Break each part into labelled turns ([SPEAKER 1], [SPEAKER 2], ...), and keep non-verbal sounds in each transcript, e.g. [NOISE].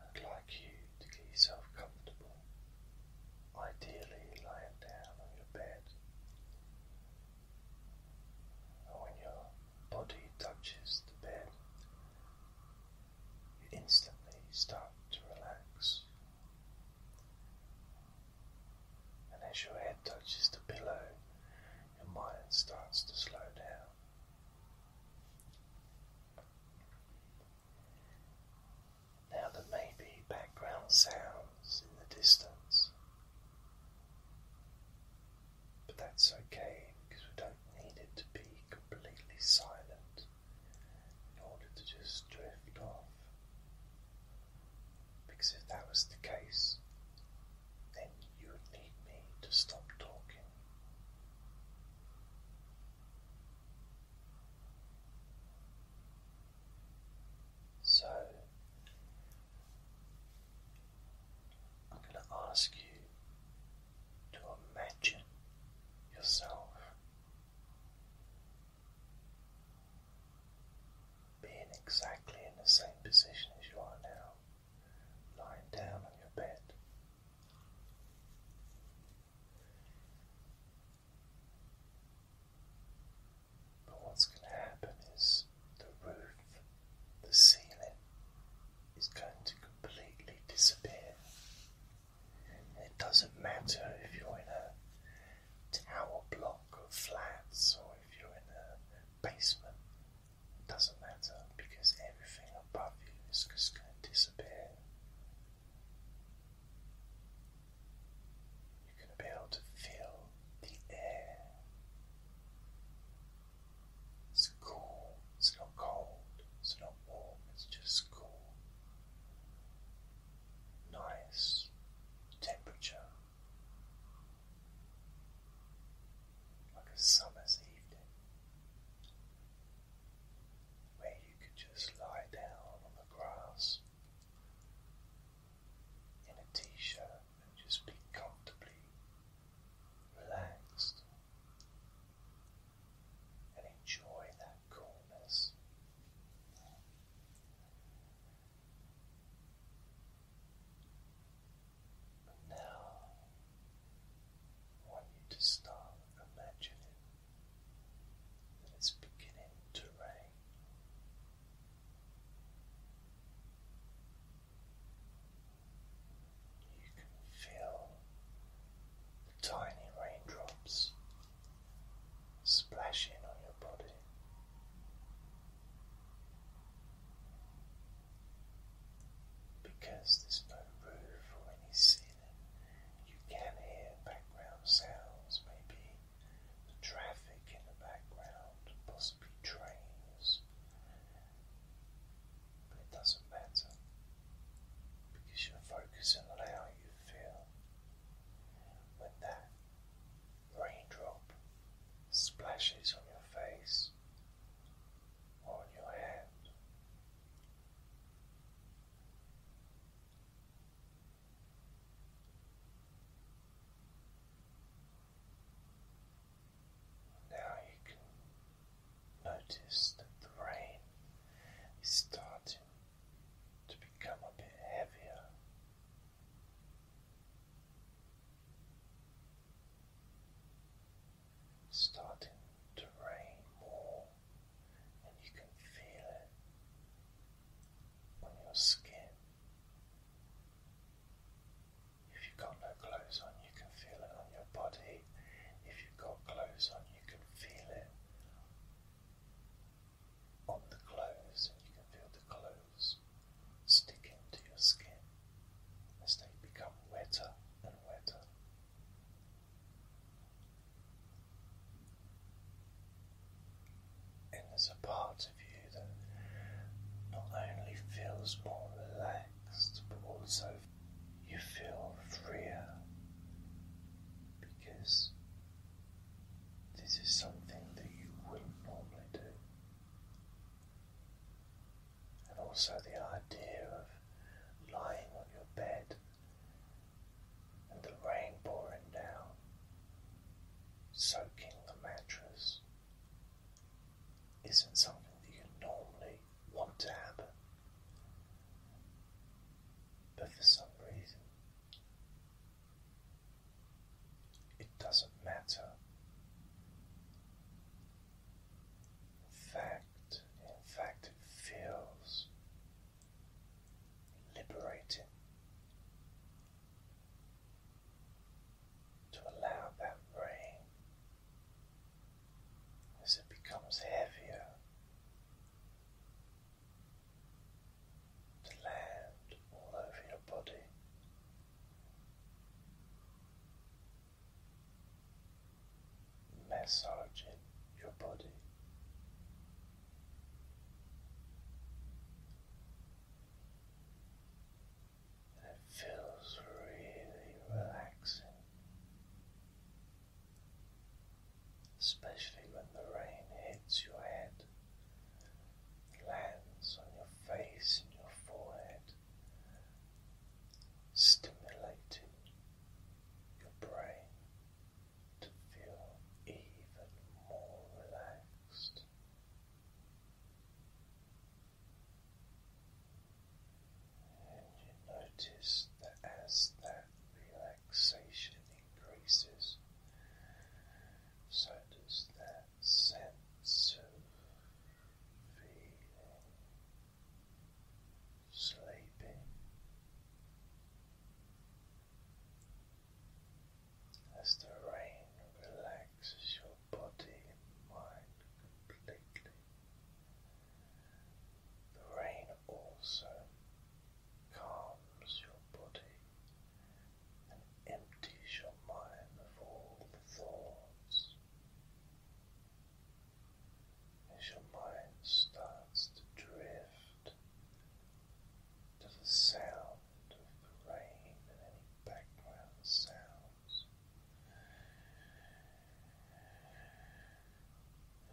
[SPEAKER 1] I'd like you to get yourself comfortable, ideally lying down on your bed. And when your body touches the bed, you instantly start to relax. And as your head touches the pillow, your mind starts to slow down. Now there may be background sounds in the distance, but that's okay because we don't need it to be completely silent in order to just drift off. Because if that was the case, then you would need me to stop talking. So I'm going to ask you to imagine yourself being exactly in the same position as you are now, lying down on your bed. But what's going to happen is the roof, the ceiling, is going to completely disappear. It doesn't matter if you're in a tower block of flats or if you're in a basement. It doesn't matter because everything above you is just going to disappear. You're going to be able to feel the air. It's cool, it's not cold, it's not warm, it's just cool. Nice temperature. Like a summer's evening where you could just lie down on the grass in a t shirt and just be comfortably relaxed and enjoy that coolness. But now I want you to start imagining that it's beginning to rain. You can feel the tiny raindrops splashing on your body. Because there's no roof or any ceiling you can hear background sounds, maybe the traffic in the background, possibly trains, but it doesn't matter because you're focusing on how you feel when that raindrop splashes on your face or on your hand now you can notice that the rain is starting to become a bit heavier starting to rain more, and you can feel it on your skin. If you've got no clothes on, you can feel it on your body. If you've got clothes on, you can feel it on the clothes, and you can feel the clothes stick into your skin as they become wetter and wetter. And there's a part of you that not only feels more relaxed, but also you feel freer because this is something that you wouldn't normally do and also the idea of lying on your bed and the rain pouring down, soaking the mattress, isn't something that you normally want to happen. But for some reason, it doesn't matter fact, in fact, it feels liberating to allow that rain as it becomes heavier to land all over your body massaging your body. And it feels really relaxing, especially when the rain hits your head, lands on your face and your forehead, stimulating your brain to feel even more relaxed. And you notice that as that relaxation increases, so does that sense of feeling sleeping as the rain relaxes your body and mind completely. The rain also calms your body and empties your mind of all thoughts as your mind starts to drift to the sound of the rain and any background sounds.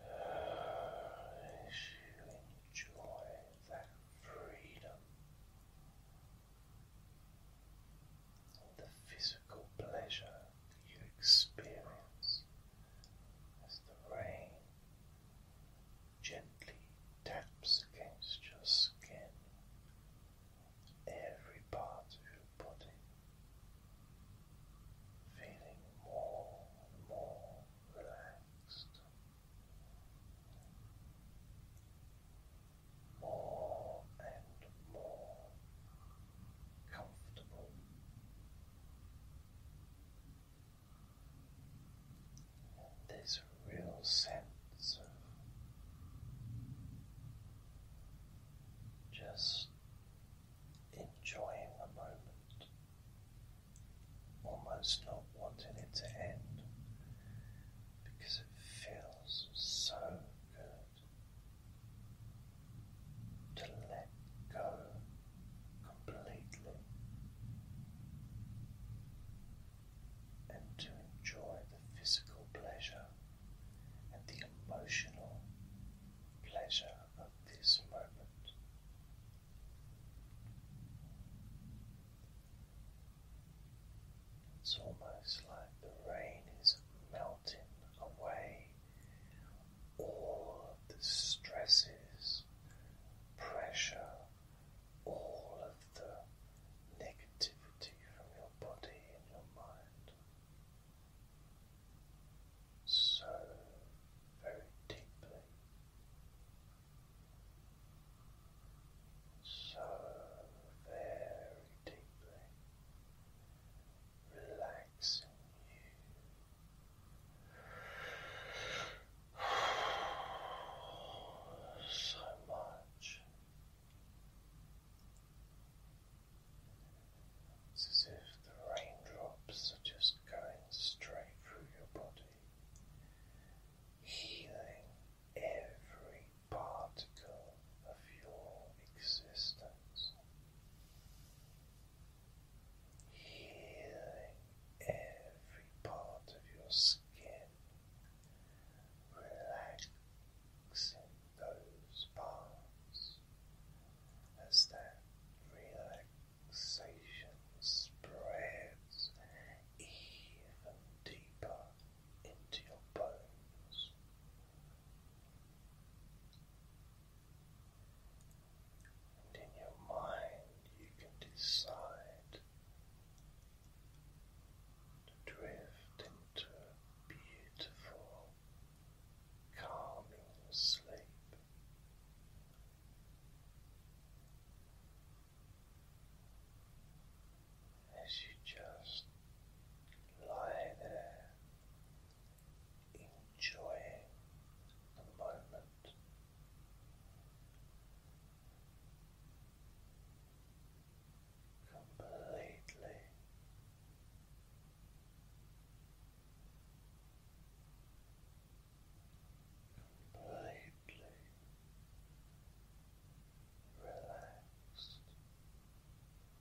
[SPEAKER 1] As you enjoy that freedom the physical pleasure you experience as the rain gently taps against your skin, every part of your body. Feeling more and more relaxed, more and more comfortable. And real sense of just enjoying the moment, almost not wanting it to end because it feels so good to let go completely and to enjoy the physical pleasure and the emotional pleasure of this moment. It's almost like the rain is melting away all of the stresses, pressure, all of the negativity from your body and your mind. So very deeply. So very deeply relaxed relaxing [SIGHS] you so much. It's as if the raindrops are just going straight through your body, healing every particle of your existence healing every part of your skin, relaxing those parts as that relaxation spreads even deeper into your bones. And in your mind, you can decide to drift into beautiful, calming sleep. As you just lie there enjoying the moment. Completely completely relaxed.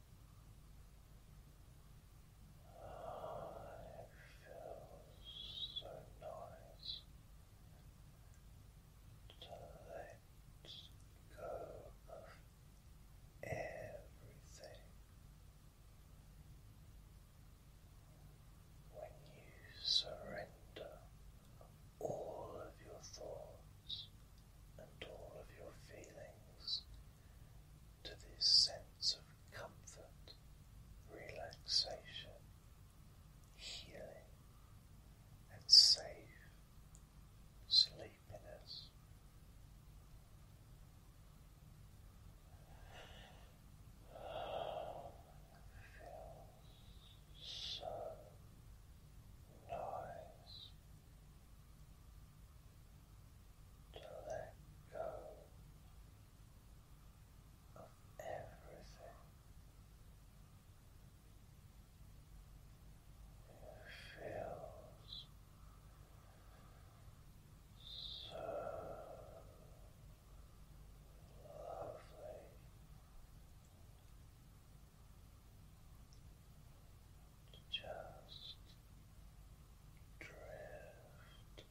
[SPEAKER 1] it feels so nice to let go of everything. When you surrender all of your thoughts and all of your feelings to this sense of comfort, relaxation, healing, and safe sleepiness. feels so nice to let go of everything. It feels so lovely just drift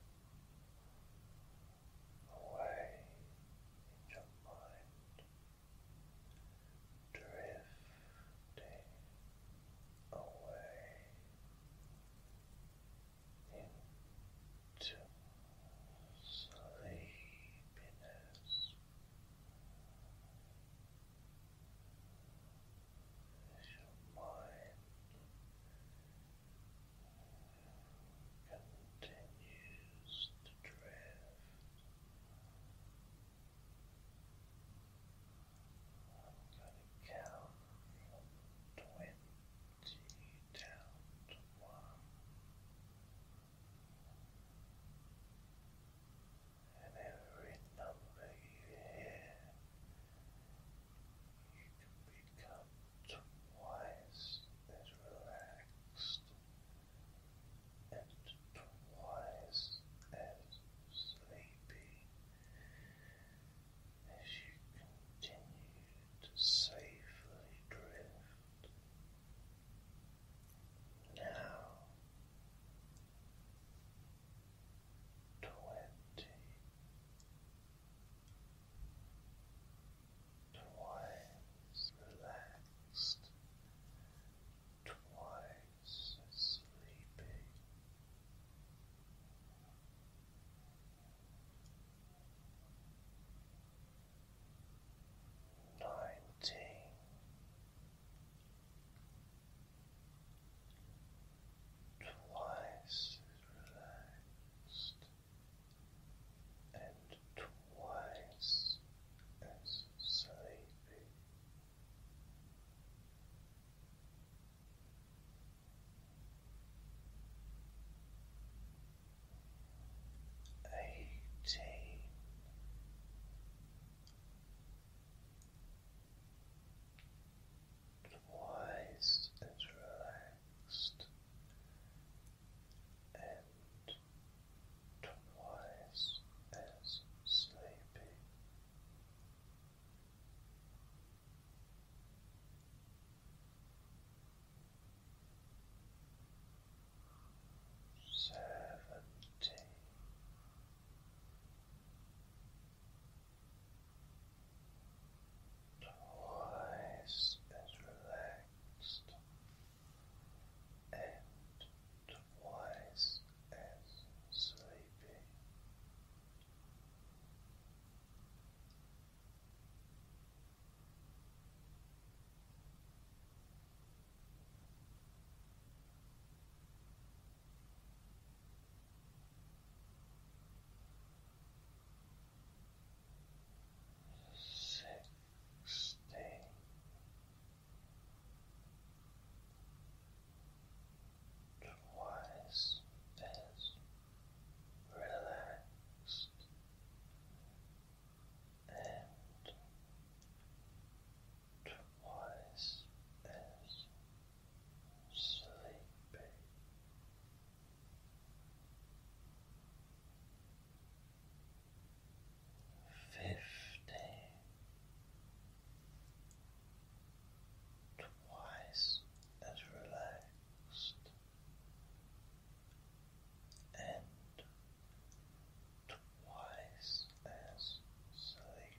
[SPEAKER 1] away your mind, drifting away into sleepiness. As your mind continues to drift I'm going to count from twenty down to one and every number you hear, you can become twice as relaxed and twice as sleepy as you continue to safely drift. Now twenty, twice relaxed, twice sleepy. Nineteen, twice as relaxed and twice as sleepy. Eighteen wise and relaxed and twice as sleepy. Seventeen twice as relaxed and twice as sleepy sixteen. Twice as relaxed and twice as sleepy. Fifteen twice as relaxed and twice as sleepy.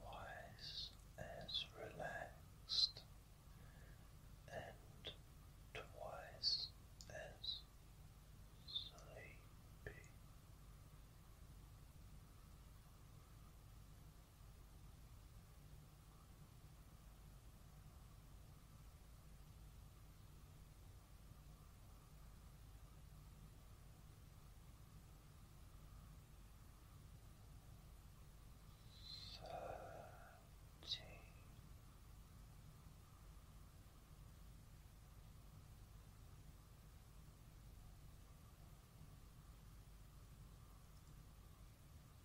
[SPEAKER 1] twice as relaxed and twice as sleepy. Thirty.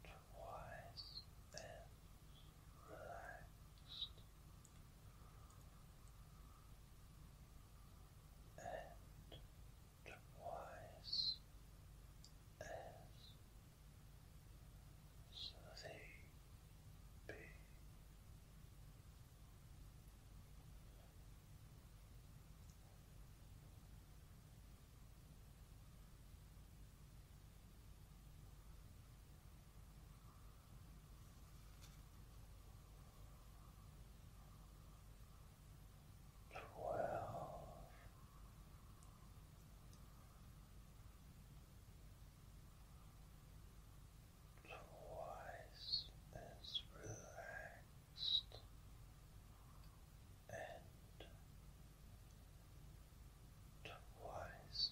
[SPEAKER 1] Twice as relaxed and twice as so twelve. Twice as relaxed and twice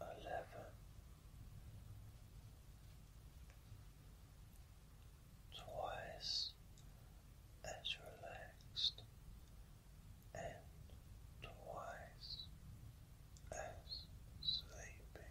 [SPEAKER 1] eleven, twice as relaxed and twice as sleepy